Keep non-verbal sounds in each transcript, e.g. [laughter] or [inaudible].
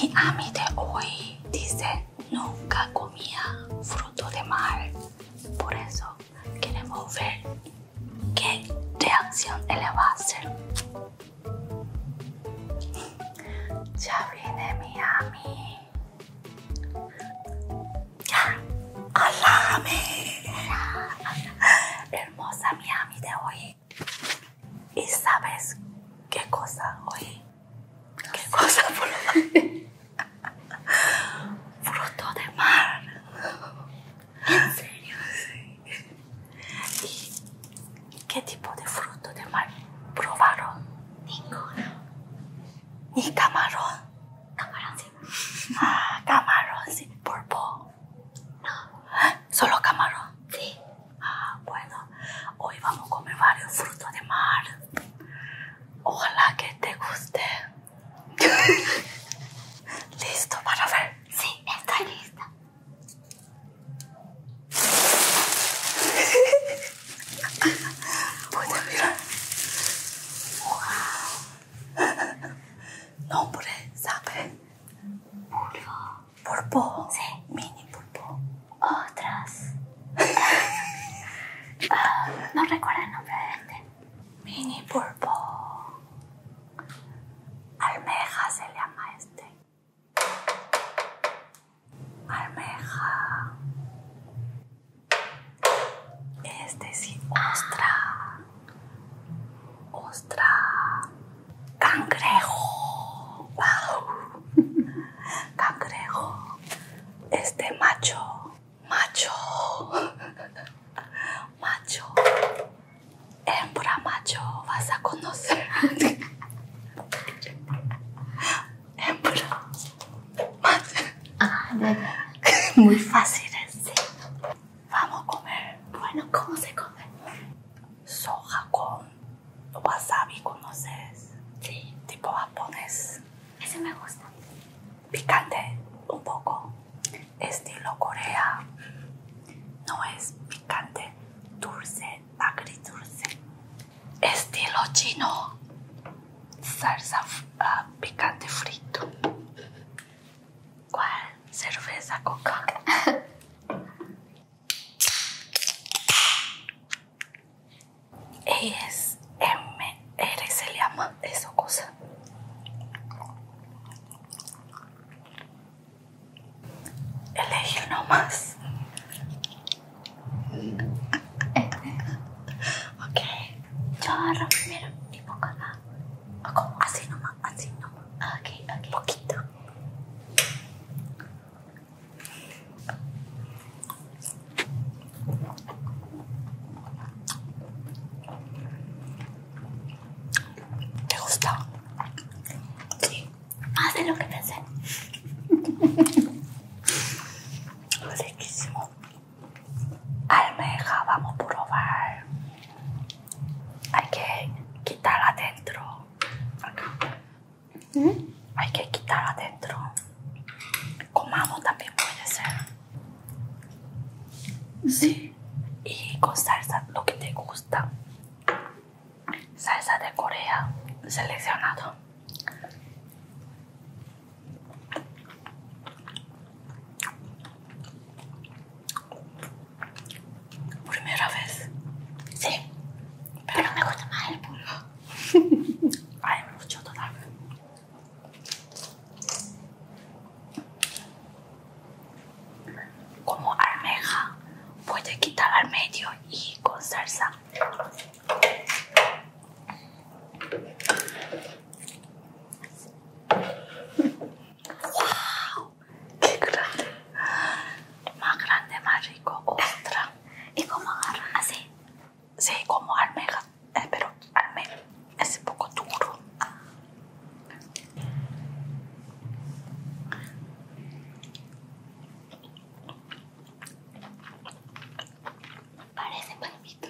Mi ami de hoy dice nunca comía fruto de mar. Por eso queremos ver qué reacción él va a hacer. Ya viene mi ami. Alájame. Hermosa Miami de hoy. ¿Y sabes qué cosa hoy? ¿Qué cosa? [laughs] Fruto de mar. ¿En serio? Sí. ¿Y qué tipo de fruto de mar probaron? Ninguno y camarón. Camarón, sí. Ah, camarón, sí. No. ¿Solo camarón? Sí. Ah, bueno. Hoy vamos a comer varios frutos de mar. Ojalá que te guste. [laughs] ¿Listo para ver? Sí, estoy lista. [laughs] Puede mirar. Wow. Nombre, ¿sabe? Pulpo. Pulpo. Sí. Mini pulpo. Otras. Ah, no recuerdo el nombre de este. Mini pulpo. Almeja se llama este almeja, Este ostra, ostra, cangrejo, [laughs] cangrejo, este macho, macho, [laughs] macho, hembra macho, vas a conocer. [laughs] es Ah, Muy fácil, sí. Vamos a comer. Bueno, ¿cómo se come? Soja con wasabi, ¿conoces? Sí. Tipo japonés. Ese me gusta. Picante, un poco. Estilo Corea. No es picante, dulce, agridulce estilo chino, salsa ah, picante frito. Cerveza coca. [laughs] es MR se llama esa cosa. Elegir más ok. Yo agarro primero y pongo acá. Como Así nomás, así nomás. okay, okay, Poquito. ¿Te gusta? Sí más lo que pensé. Riquísimo. Almeja, vamos a probar. Hay que quitarla adentro. ¿Mm? Hay que quitarla adentro. Comamos también puede ser. Sí. Y con salsa, lo que te gusta salsa de Corea seleccionado primera vez sí pero me gusta más el pulpo hay [laughs] mucho todavía como almeja puede quitar al medio y con salsa Wow, qué grande. Más grande, más rico. Ostra. ¿Y cómo agarra? así? Sí, como almeja, eh, pero almeja es un poco duro. Parece palmito.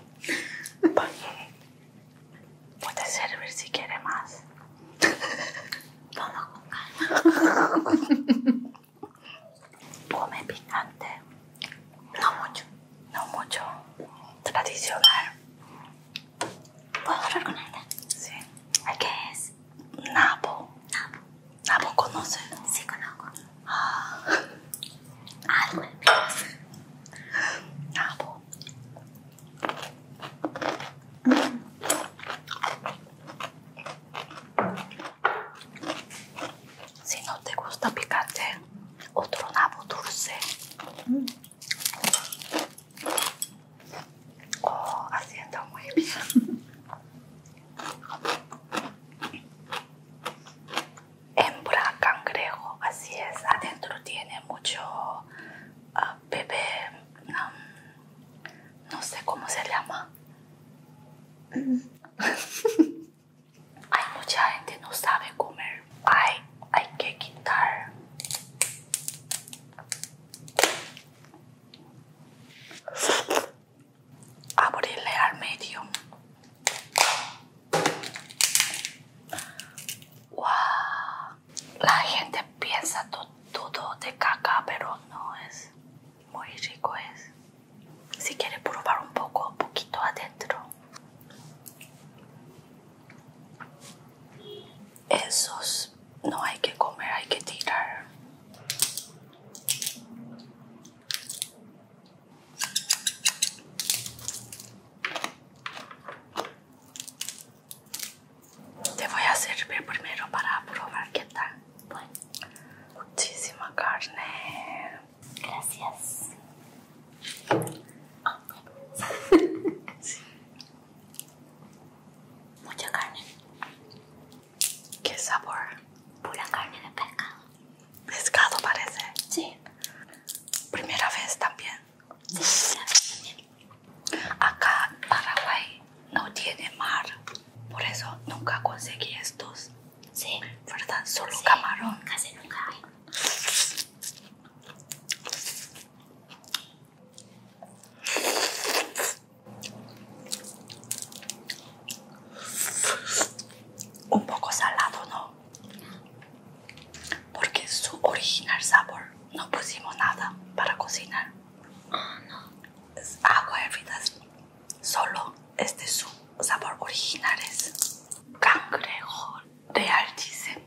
[laughs] Puede servir si quiere más. Vamos con calma. [laughs] Come picante. No mucho. No mucho. Tradicional. ¿Puedo hablar con ella? Sí. ¿Qué es? ¿Nabo? ¿Nabo nabo conoce? Sí, conozco. Ah. Algo ah, en ¿Nabo? Si no te gusta picante, otro nabo dulce. Oh, haciendo muy bien. Hembra cangrejo, así es. Adentro tiene mucho ah, bebé, no sé cómo se llama. hay mucha gente no sabe comer. hay que quitar abrirle al medio. La gente piensa todo de caca, pero no es muy rico. Es si quiere probar un poco, un poquito adentro. Esos no hay que comer, hay que tirar. Te voy a servir primero para probar qué tal. Bueno, muchísima carne. Gracias. [laughs] Mucha carne. ¿Qué sabor? Pura carne de pescado. Pescado parece. Sí. Primera vez también. Sí, Acá Paraguay no tiene mar. Por eso nunca conseguí estos. Sí. ¿Verdad? Solo camarón. Casi nunca hay. Un poco salado, ¿no? Porque su original sabor no pusimos nada para cocinar. Ah, no. Es agua hervida. Solo este es su sabor original es cangrejo de dice.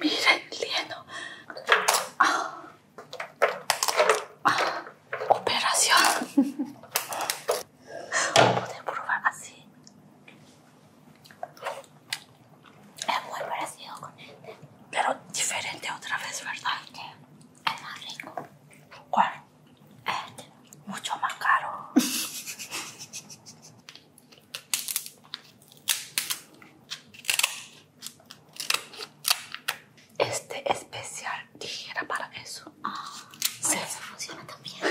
miren el lleno. Ah. Ah. Operación. probar así. Es muy parecido con este. Pero diferente otra vez, ¿verdad? es más rico. ¿Cuál? Este. Mucho más caro. [laughs] Este especial dijera ah, para eso. funciona también.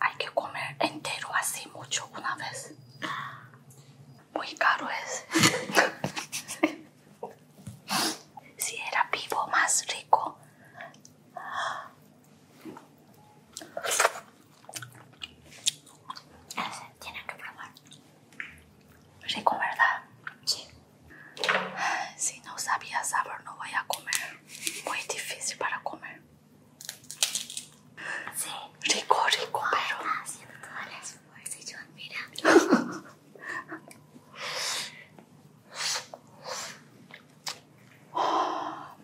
Hay que comer entero así mucho una vez. Muy caro es. [laughs] si era vivo más rico. Tienen que probar. Rico, ¿verdad? Sí. Si no sabía sabor, no voy a comer. Muy difícil para comer. Sí. Rico, rico, pero. haciendo todo y yo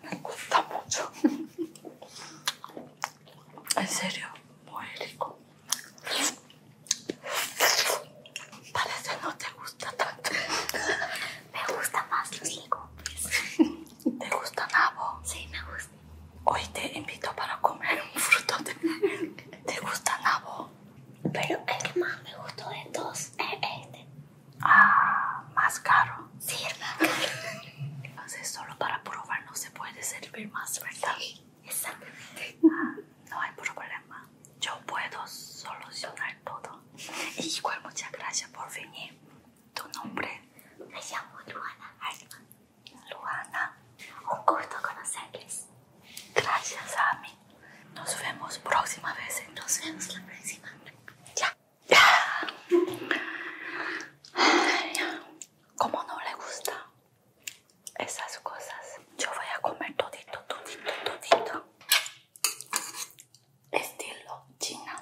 me gusta mucho. en serio, muy rico. Parece no te gusta tanto. me gusta más los ¿Te gusta nabo? Sí, me gusta. Hoy te invito para comer un fruto. De... ¿Te gusta nabo? Pero el que más me gustó de todos es este. Ah, más caro. Sí, Entonces, [laughs] solo para probar no se puede servir más, ¿verdad? Sí, exactamente. Ah, no hay problema. Yo puedo solucionar todo. Y igual, muchas gracias por venir. ¿Tu nombre? Me llamo Luana Luana. Un gusto conocerles. Gracias, mí. Nos vemos próxima vez. Nos vemos la próxima. Ya. como no le gusta esas cosas, yo voy a comer todito, todito, todito. Estilo china.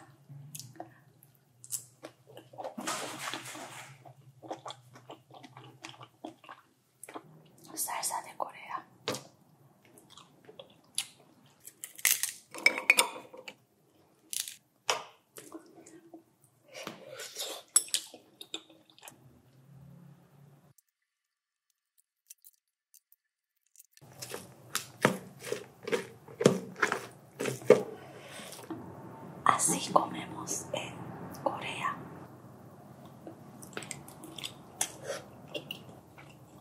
Salsa de Corea. Así comemos en Corea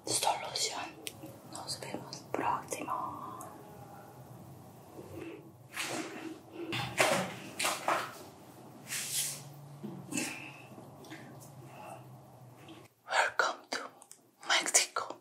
solución. Nos vemos próximo. Welcome to Mexico.